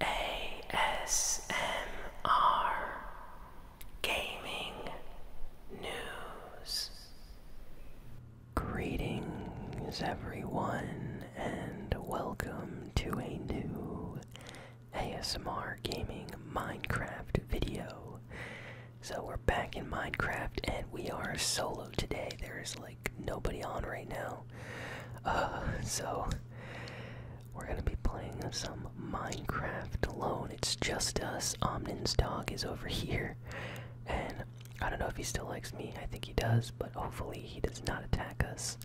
ASMR Gaming News. Greetings, everyone, and welcome to a new ASMR Gaming Minecraft video. So, we're back in Minecraft and we are solo today. There's like nobody on right now. Uh, so we're gonna be playing some Minecraft alone. It's just us. Omnin's dog is over here, and I don't know if he still likes me. I think he does, but hopefully he does not attack us.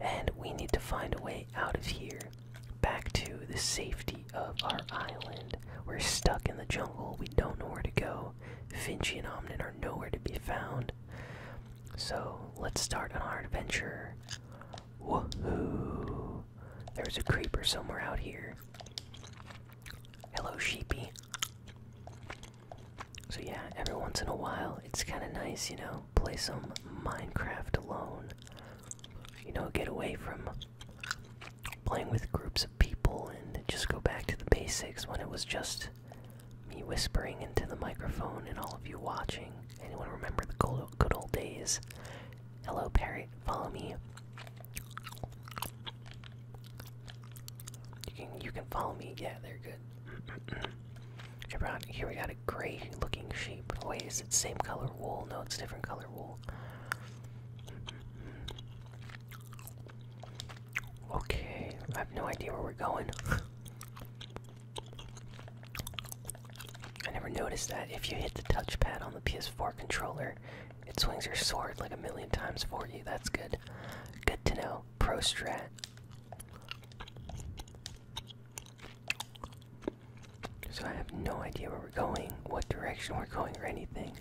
And we need to find a way out of here, back to the safety of our island. We're stuck in the jungle. We don't know where to go. Finchie and Omnin are nowhere to be found. So let's start on our adventure. Woohoo! There's a creeper somewhere out here. Hello, sheepy. So, yeah, every once in a while, it's kind of nice, you know, play some Minecraft alone. You know, get away from playing with groups of people and just go back to the basics when it was just me whispering into the microphone and all of you watching. Anyone remember the good old days? Hello, Parrot, follow me. You can, follow me. Yeah, they're good. Here we got a gray looking sheep. Oh, wait, is it same color wool? No, it's different color wool. Okay, I have no idea where we're going. I never noticed that if you hit the touchpad on the PS4 controller, it swings your sword like a million times for you. That's good. Good to know. Pro strat. So I have no idea where we're going, what direction we're going, or anything.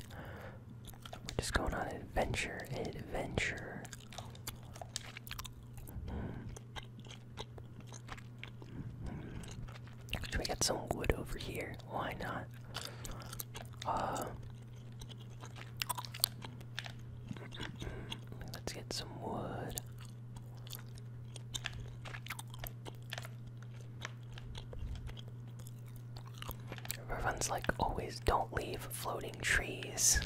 We're just going on an adventure, an adventure. Should we get some wood over here? Why not? Uh, let's get some wood. Everyone's like, always don't leave floating trees.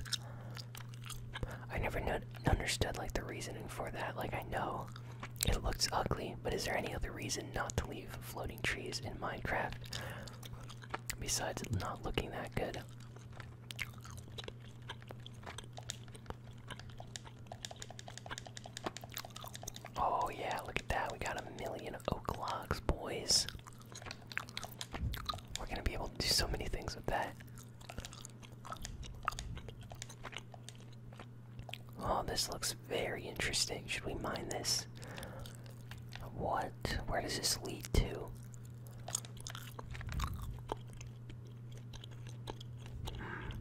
I never understood like the reasoning for that. Like I know it looks ugly, but is there any other reason not to leave floating trees in Minecraft besides it not looking that good? Oh yeah, look at that. We got a million oak logs, boys. We're gonna be able to do so many things with that. Oh, this looks very interesting. Should we mine this? What? Where does this lead to? Hmm.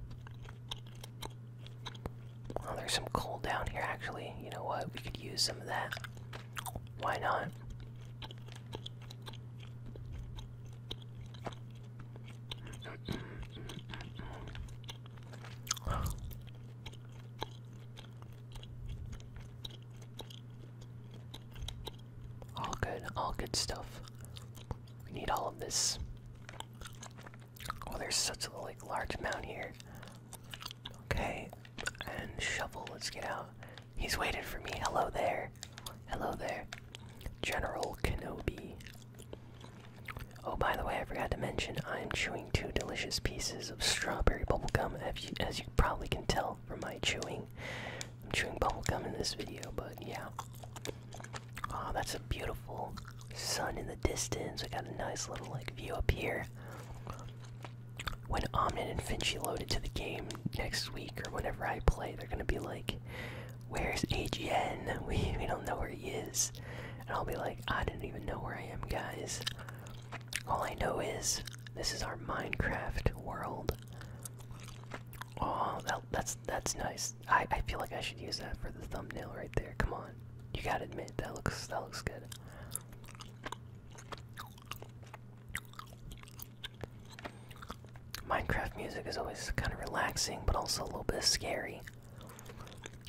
Oh, there's some coal down here actually. You know what? We could use some of that. Why not? All good, all good stuff. We need all of this. Oh, there's such a like large amount here. Okay, and shovel. Let's get out. He's waiting for me. Hello there. Hello there. General Kenobi. Oh, by the way, I forgot to mention I'm chewing two delicious pieces of strawberry bubblegum, as you, as you probably can tell from my chewing. I'm chewing bubblegum in this video, but yeah. Oh, that's a beautiful sun in the distance. We got a nice little like view up here. When Omnin and Finchie loaded to the game, next week or whenever I play, they're gonna be like, "Where's AGN? We we don't know where he is," and I'll be like, "I didn't even know where I am, guys. All I know is this is our Minecraft world." Oh, that, that's that's nice. I I feel like I should use that for the thumbnail right there. Come on, you gotta admit that looks that looks good. Minecraft music is always kind of relaxing, but also a little bit scary.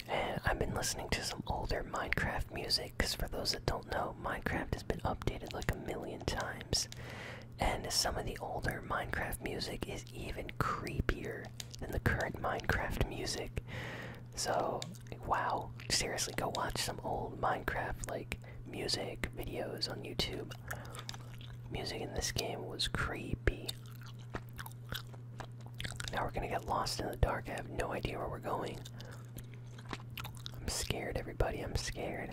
And I've been listening to some older Minecraft music, because for those that don't know, Minecraft has been updated like a million times. And some of the older Minecraft music is even creepier than the current Minecraft music. So, wow, seriously, go watch some old Minecraft, like, music videos on YouTube. Music in this game was creepy. Now we're gonna get lost in the dark. I have no idea where we're going. I'm scared, everybody. I'm scared.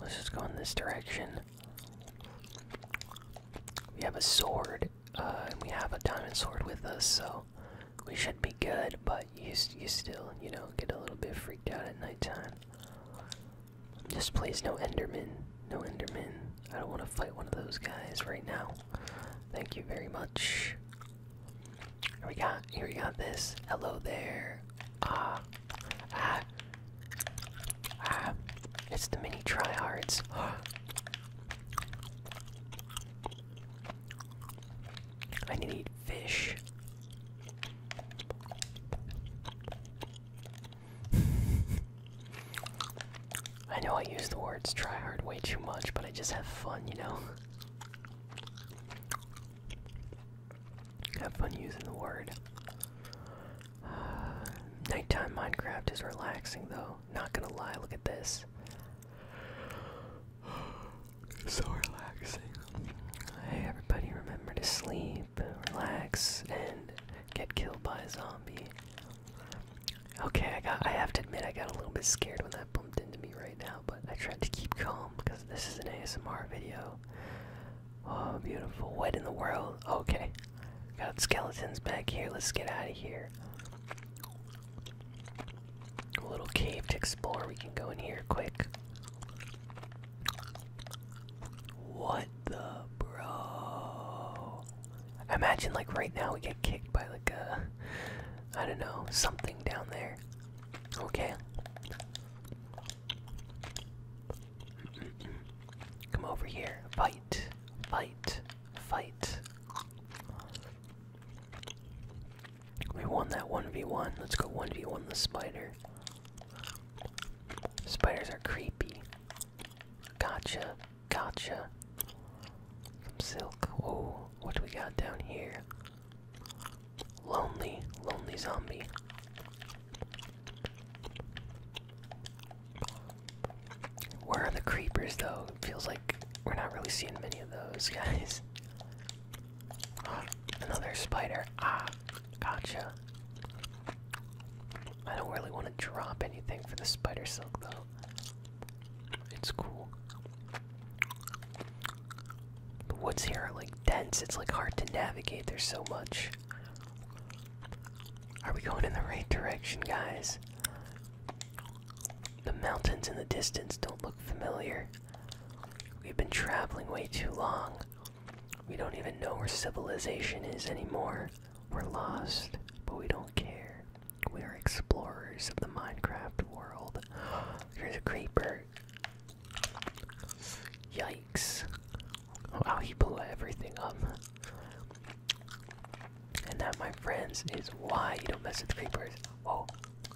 Let's just go in this direction. We have a sword, uh, and we have a diamond sword with us, so we should be good. But you, you still, you know, get a little bit freaked out at nighttime. Just please, no Enderman, no Enderman. I don't want to fight one of those guys right now. Thank you very much. Here we go. here we got this. Hello there. ah. ah. Ah, it's the mini tryhards. I need to eat fish. I know I use the words try hard way too much, but I just have fun, you know? Have fun using the word. nighttime Minecraft is relaxing, though. Not gonna lie, look at this. so relaxing. Hey, everybody, remember to sleep, relax, and get killed by a zombie. Okay, I got. I have to admit, I got a little bit scared when that bumped into me right now, but I tried to keep calm because this is an ASMR video. Oh, beautiful. What in the world? Okay. Got skeletons back here. Let's get out of here. A little cave to explore. We can go in here quick. What the bro? Imagine like right now we get kicked by like a I don't know, something down there. Okay. Come over here. Fight. Fight. Fight. We won that 1v1. Let's go 1v1 the spider. Spiders are creepy. Gotcha. Gotcha. Some silk. Oh, What do we got down here? Lonely. Lonely zombie. Where are the creepers though? It feels like we're not really seeing many of those guys. Another spider. Ah, gotcha. I don't really want to drop anything for the spider silk though. It's cool. The woods here are like dense, it's like hard to navigate, there's so much. Are we going in the right direction, guys? The mountains in the distance don't look familiar. We've been traveling way too long. We don't even know where civilization is anymore. We're lost, but we don't care. We are explorers of the Minecraft world. There's a creeper. Yikes. Wow, he blew everything up. And that, my friends, is why you don't mess with creepers. Whoa. Oh.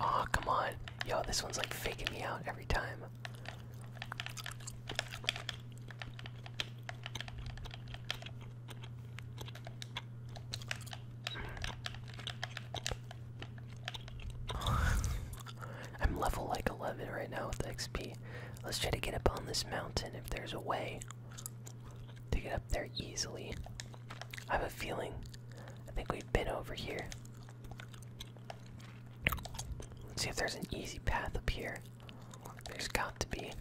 Aw, oh, come on. Yo, this one's like faking me out every time. I'm level like 11 right now with XP. Let's try to get up on this mountain if there's a way to get up there easily. I have a feeling. I think we've been over here. Let's see if there's an easy path up here. There's got to be.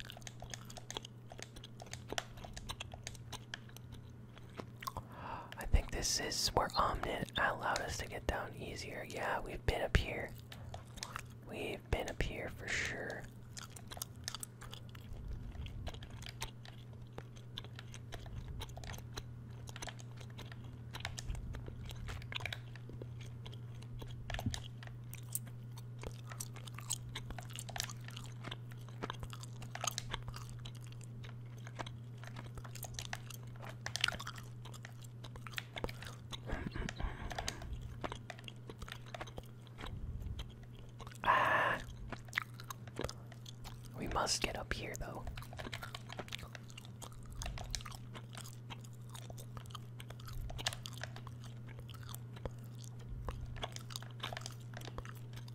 I think this is where Omnit allowed us to get down easier. Yeah, we've been up here. We've been up here for sure ah. We must get up here, though.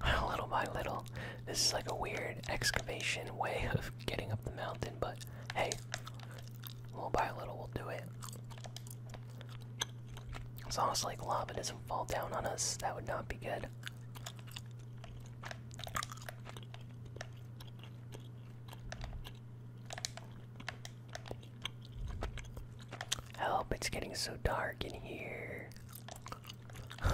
little by little. This is like a weird excavation way of getting up the mountain, but hey, little by little we'll do it. As long as like lava doesn't fall down on us, that would not be good. Help, it's getting so dark in here.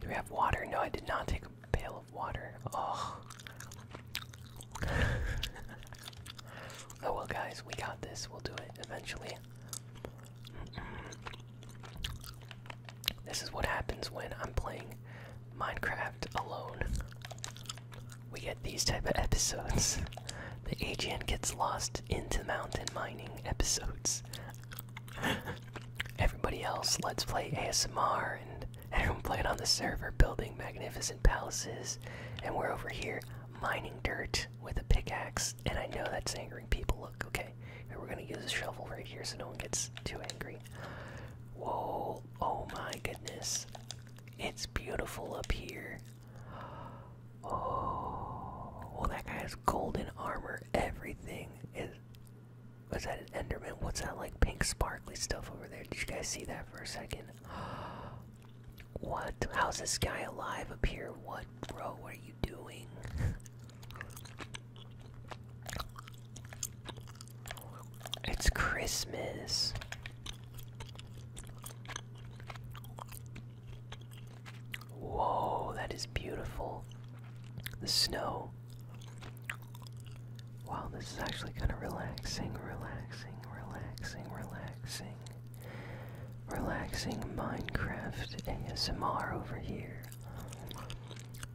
Do we have water? No, I did not take a pail of water. Oh. oh well, guys, we got this. We'll do it eventually. This is what happens when I'm playing Minecraft alone we get these type of episodes. the AGN gets lost into mountain mining episodes. Everybody else, let's play ASMR, and everyone played on the server, building magnificent palaces, and we're over here mining dirt with a pickaxe. And I know that's angering people. Look, okay, we're gonna use a shovel right here so no one gets too angry. Whoa! Oh my goodness, it's beautiful up here. Oh, well, that guy has golden armor. Everything is. Was that an Enderman? What's that like pink sparkly stuff over there? Did you guys see that for a second? What? How's this guy alive up here? What, bro? What are you doing? It's Christmas. Whoa, that is beautiful. The snow. Wow, this is actually kind of relaxing, relaxing, relaxing, relaxing. Relaxing Minecraft ASMR over here.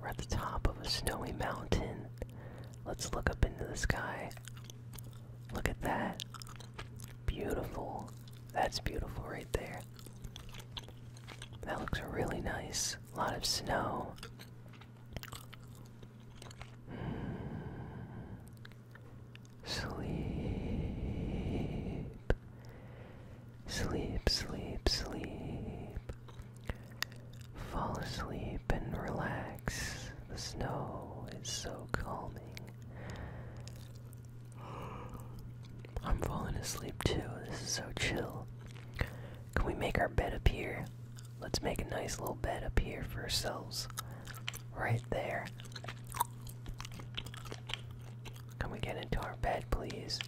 We're at the top of a snowy mountain. Let's look up into the sky. Look at that. Beautiful. That's beautiful right there. That looks really nice. A lot of snow. Sleep. Sleep, sleep, sleep. Fall asleep and relax. The snow is so calming. I'm falling asleep too. This is so chill. Can we make our bed up here? Let's make a nice little bed up here for ourselves. Right there. Can we get into our bed, please?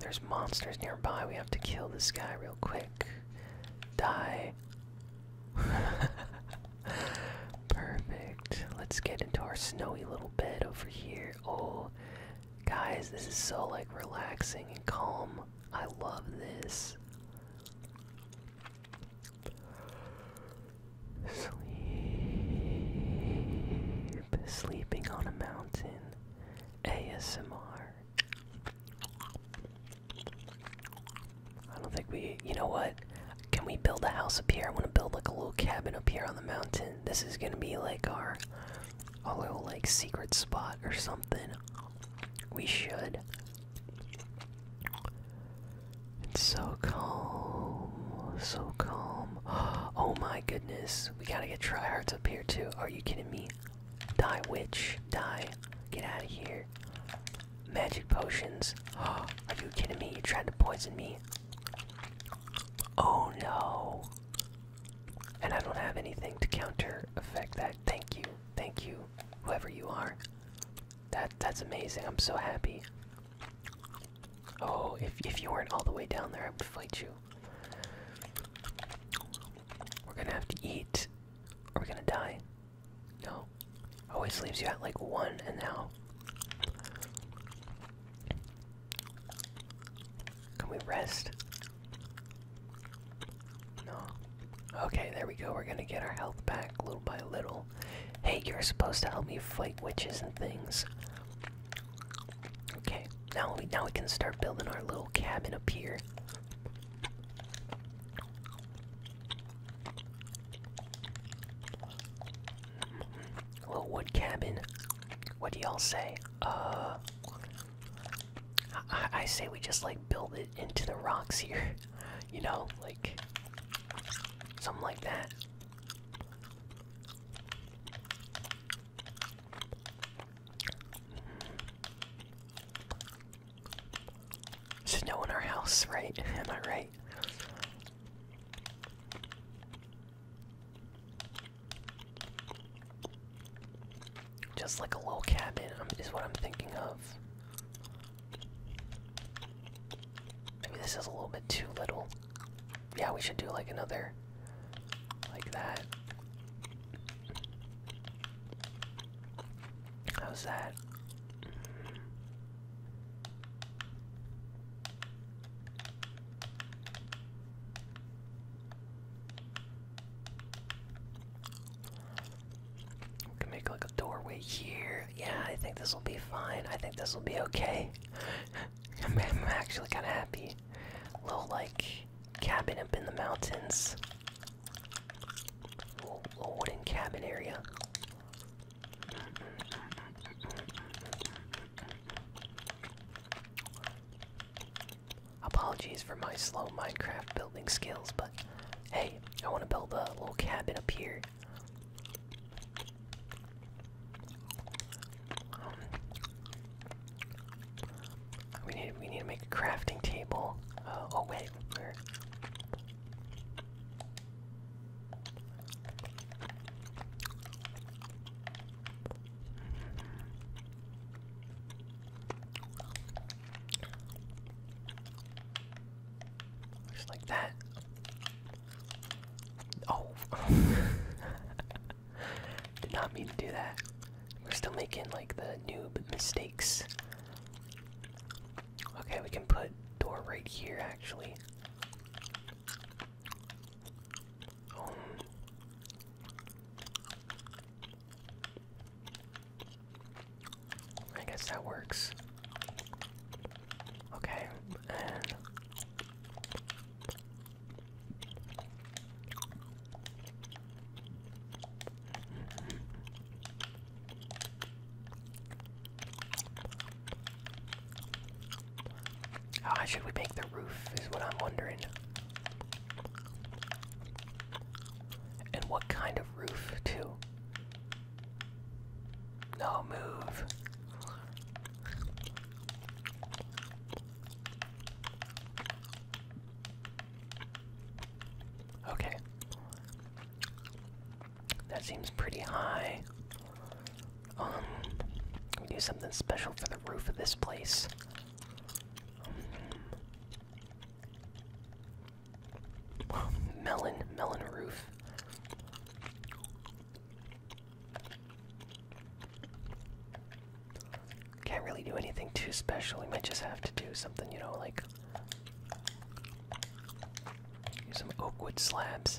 There's monsters nearby. We have to kill this guy real quick. Die. Perfect. Let's get into our snowy little bed over here. Oh, guys, this is so like relaxing and calm. I love this. Sleep. Sleeping on a mountain. ASMR. I don't think we. You know what? Can we build a house up here? I want to build like a little cabin up here on the mountain. This is gonna be like our, our little like secret spot or something. We should. It's so calm, so calm. Oh my goodness, we gotta get tryhards up here too. Are you kidding me? Die, witch, die. Get out of here. Magic potions. Are you kidding me? You're trying to poison me. Oh no. And I don't have anything to counter affect that. Thank you. Thank you. Whoever you are. That that's amazing. I'm so happy. Oh, if if you weren't all the way down there I would fight you. We're gonna have to eat. Are we gonna die? No. Always leaves you at like one and now. Can we rest? No. Okay, there we go. We're gonna get our health back little by little. Hey, you're supposed to help me fight witches and things. Okay, now we now we can start building our little cabin up here little wood cabin. What do y'all say? Uh, I, I say we just like build it into the rocks here. You know, like something like that snow in our house, right? Am I right? Just like a little cabin is what I'm thinking of. Maybe this is a little bit too little. Yeah, we should do like another like that. How's that? We can make like a doorway here. Yeah, I think this will be fine. I think this will be okay. I'm, actually kind of happy. little like cabin up in the mountains. little wooden cabin area. Apologies for my slow Minecraft building skills, but hey, I want to build a little cabin up here. we need we need to make a crafting table. Uh, oh wait, just like that. Oh, did not mean to do that. We're still making like the noob mistakes. Okay, we can put door right here actually. Um, I guess that works. Okay, how should we make the roof is what I'm wondering. And what kind of roof, too? No, move. Okay. That seems pretty high. Um, we do something special for the roof of this place. Um, melon, melon roof. Can't really do anything too special. We might just have to do something, you know, like some oak wood slabs.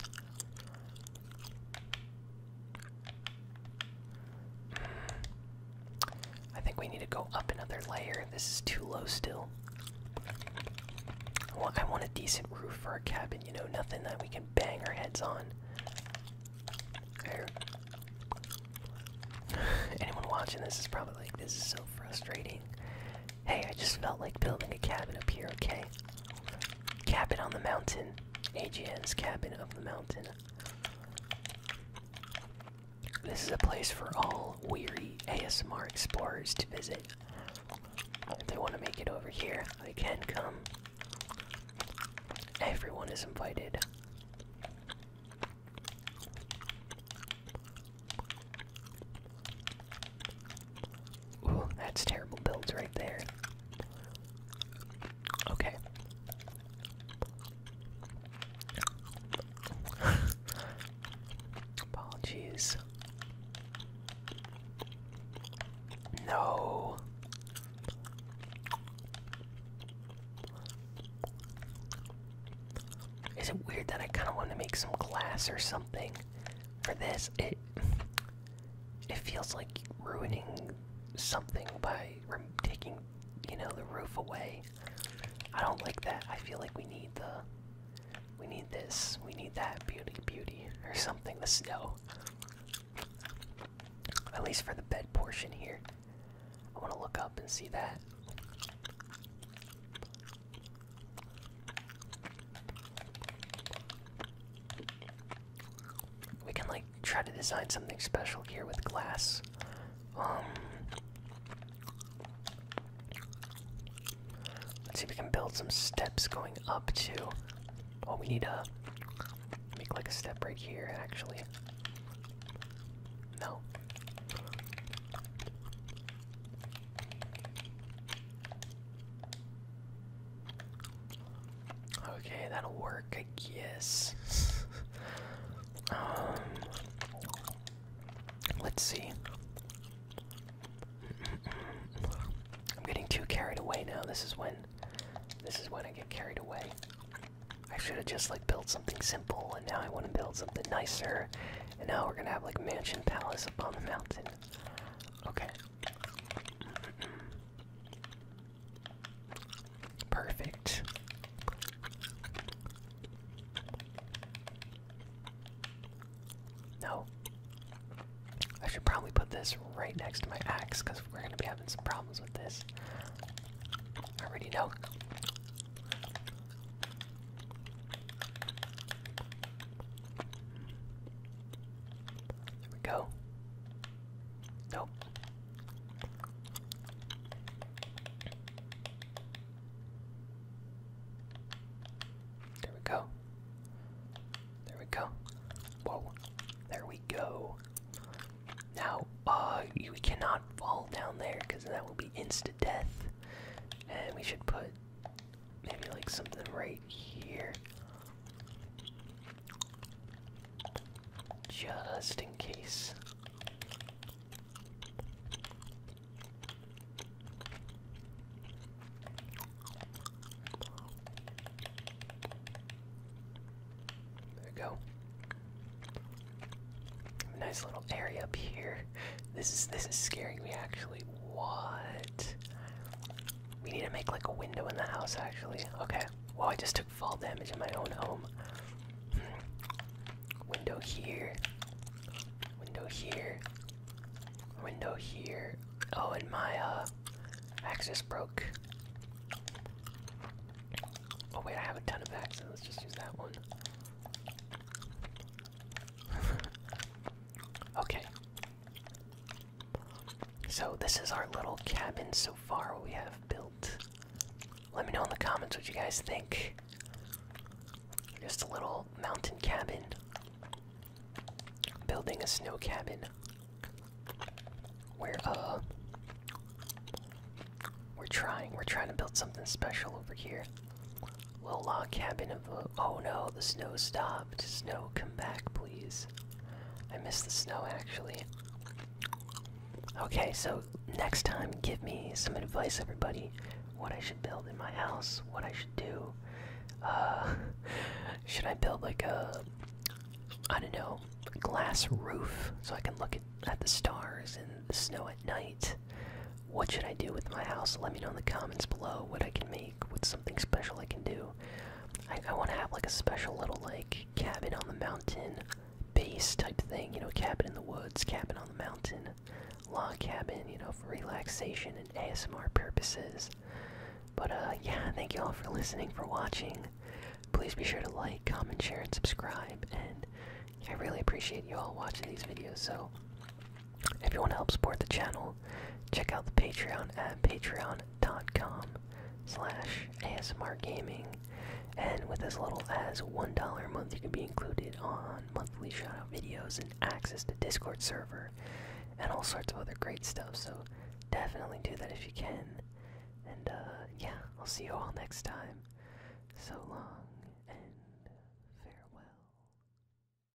I think we need to go up another layer. This is too low still. Well, I want a decent roof for our cabin, you know, nothing that we can bang our heads on. There. Anyone watching this is probably like, this is so frustrating. Hey, I just felt like building a cabin up here, okay? Cabin on the mountain. AGN's Cabin of the Mountain. This is a place for all weary ASMR explorers to visit. If they want to make it over here, they can come. Everyone is invited. Ooh, that's terrible builds right there. Okay. Apologies. No. Is it weird that I kind of want to make some glass or something? for this it it feels like ruining something by taking you know the roof away i don't like that i feel like we need the we need this we need that beauty beauty or something the snow at least for the bed portion here i want to look up and see that we can like try to design something special here with glass. Um Let's see if we can build some steps going up to Oh we need to make like a step right here actually. No. Okay, that'll work, I guess. um, let's see. I'm getting too carried away now. This is when, this is when I get carried away. I should have just like built something simple, and now I want to build something nicer. And now we're gonna have like mansion palace up on the mountain. Okay. Perfect. No. I should probably put this right next to my axe because we're going to be having some problems with this. I already know. There we go. Nope. There we go. There we go. Whoa. There we go. Now, uh, we cannot fall down there because that will be insta death. And we should put Maybe like something right here. Just in case. There we go. Nice little area up here. This is this is scaring me actually, what? We need to make like a window in the house actually. Okay. Well, I just took fall damage in my own home. Hmm. Window here. Window here. Window here. Oh, and my uh, axis broke. Oh wait, I have a ton of axes. Let's just use that one. okay, so, this is our little cabin so far we have built. Let me know in the comments what you guys think. Just a little mountain cabin. Building a snow cabin. We're, uh. We're trying. We're trying to build something special over here. Little log cabin of oh no, the snow stopped. Snow, come back, please. I miss the snow actually. Okay, so next time, give me some advice, everybody. What I should build in my house, what I should do. Uh, should I build like a, I don't know, glass roof so I can look at, at the stars and snow at night? What should I do with my house? Let me know in the comments below what I can make with some something special I can do. I, I want to have like a special little like cabin on the mountain base type thing, you know, cabin in the woods, cabin on the mountain, log cabin, you know, for relaxation and ASMR purposes. But uh, yeah, thank you all for listening, for watching. Please be sure to like, comment, share, and subscribe. And I really appreciate you all watching these videos. So if you want to help support the channel, check out the Patreon at patreon.com slash ASMRgaming. And with as little as $1 a month, you can be included on monthly shoutout videos and access to Discord server and all sorts of other great stuff. So definitely do that if you can. And uh, yeah, I'll see you all next time. So long and farewell.